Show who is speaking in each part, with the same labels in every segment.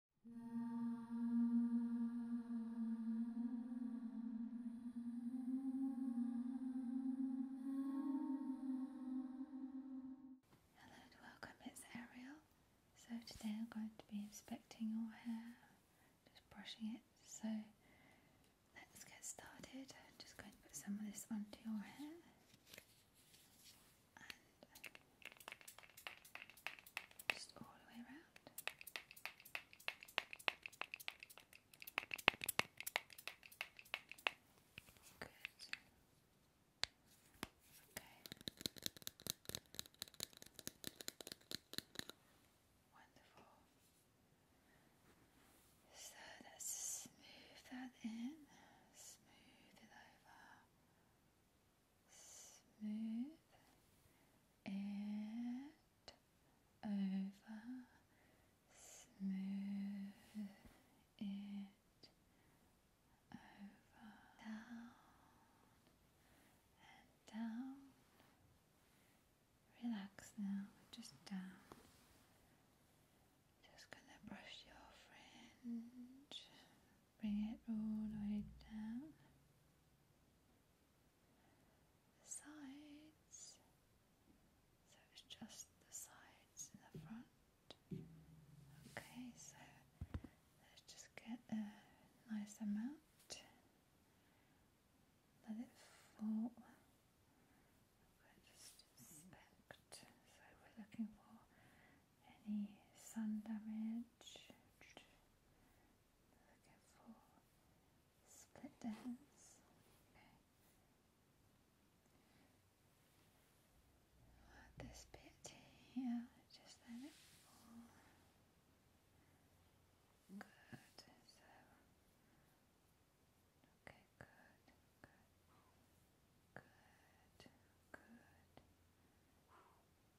Speaker 1: Hello and welcome, it's Ariel. So today I'm going to be inspecting your hair, just brushing it. So let's get started. just going to put some of this onto your hair and just all the way around. Good. Okay. Wonderful. So let's smooth that in, smooth it over smooth it over, smooth it over, down and down. Relax now, just down. Just gonna brush your fringe bring it all the way down the sides so it's just the sides and the front okay so let's just get a nice amount let it fall we'll just inspect so we're looking for any sun damage. Looking for split ends. Okay. this bit here, just let Good. okay, good, good, good, good.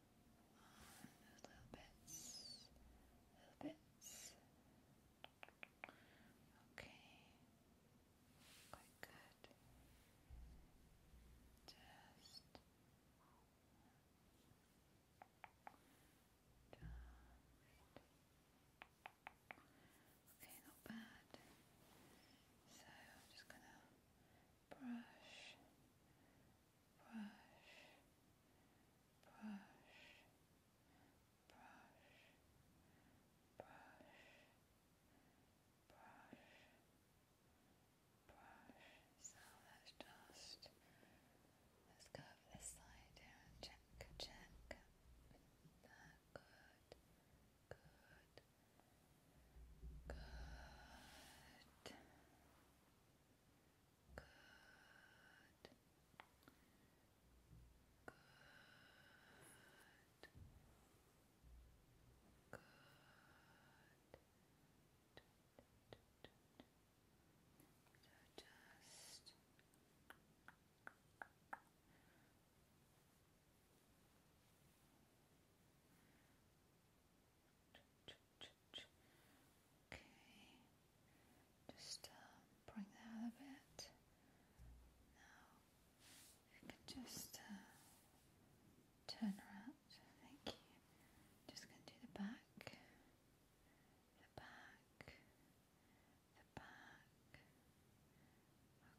Speaker 1: on little bits, little bits. Okay, quite good. Just Okay, not bad. So I'm just gonna brush brush, brush, brush, brush, brush, brush. So let's just let's go over this side here and check, check. That good, good, good. Good. Good. Good. So just Okay, just uh, bring that a bit. Now you can just uh, turn around. Thank you. Just gonna do the back, the back, the back.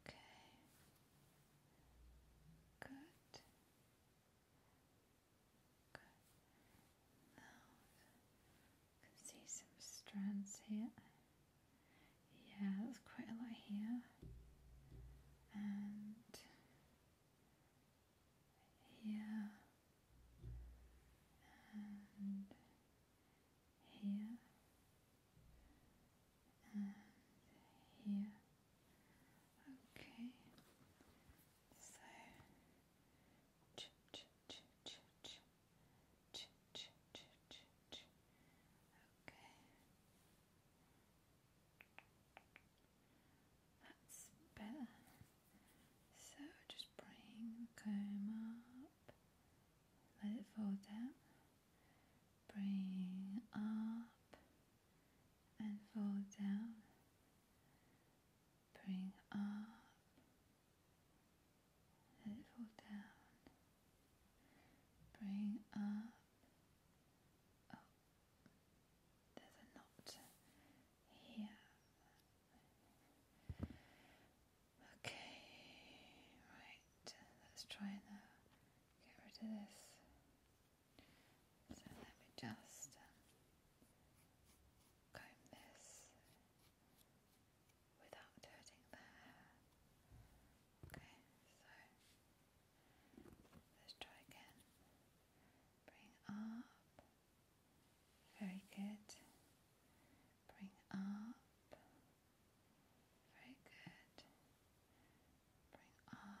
Speaker 1: Okay. Good can see some strands here. Yeah, that's quite a lot here. here. And here. And here. Okay. So that's better. So just bring the comb up, let it fall down, bring up and fall down bring up, let it fall down, bring up, there's a knot here. Okay, right, let's try and uh, get rid of this. So let me just um, comb this without hurting the Okay, so let's try again. Bring up. Very good. Bring up. Very good. Bring up.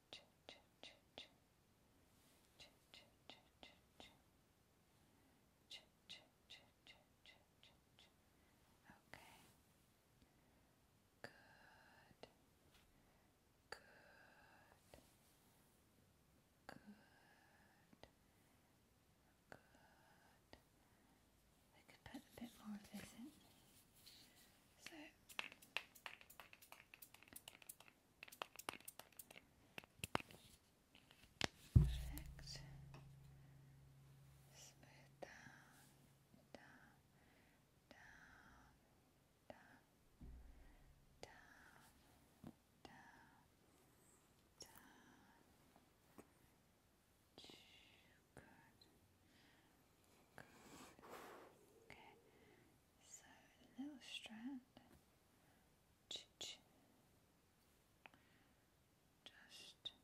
Speaker 1: Okay. Good. Good. Good. Good. We could put a bit more of this in. So Perfect. Smooth down, down, down, down, down, down, down. Good. Good. Okay. So a little strand. Just, just, just, just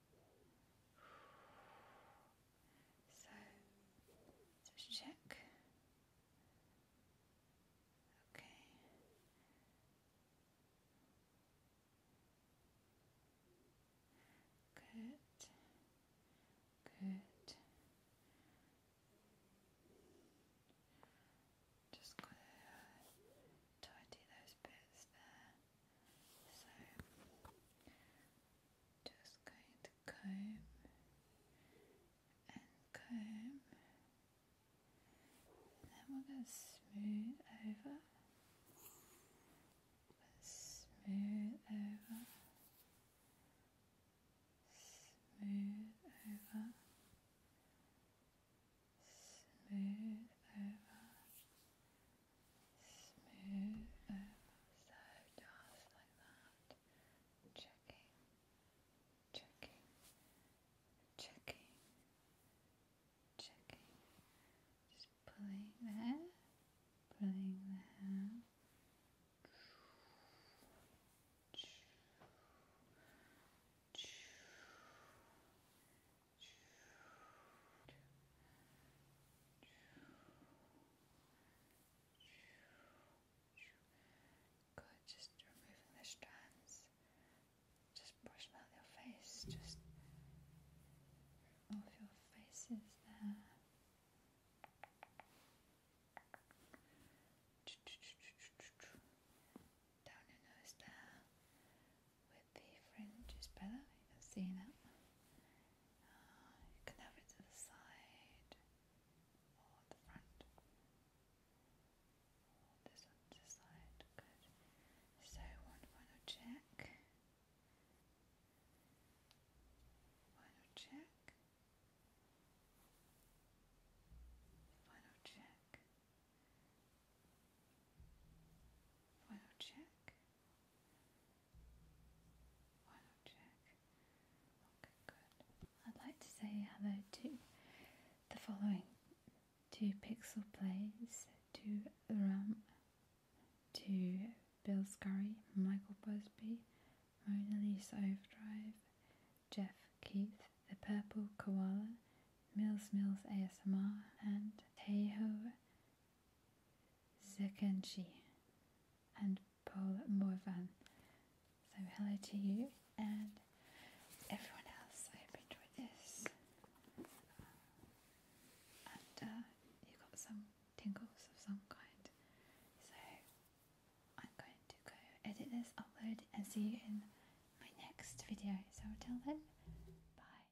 Speaker 1: So just check. Okay. Good. Good. Just gotta uh, tidy those bits there. So just going to comb and comb, then we're going to smooth over, smooth over, smooth over. Smooth over, smooth so just like that checking checking checking checking just pulling there pulling there Choo, choo, just removing the strands. Just brush them out your face, just off your faces there. Down your nose there with the fringe is better, you can see that. you can have it to the side or the front. Or this to the side, good. So one final check. Final check. Final check. Final check. I'd like to say hello to the following to Pixel Plays, to Ram, to Bill Scurry, Michael Busby, Mona Lisa Overdrive, Jeff Keith, The Purple Koala, Mills Mills ASMR, and Teho Zekenji and Paul Morvan. So hello to you and everyone else. I hope you enjoyed this. Uh, you got some tingles of some kind. So I'm going to go edit this, upload and see you in my next video. So until then, bye.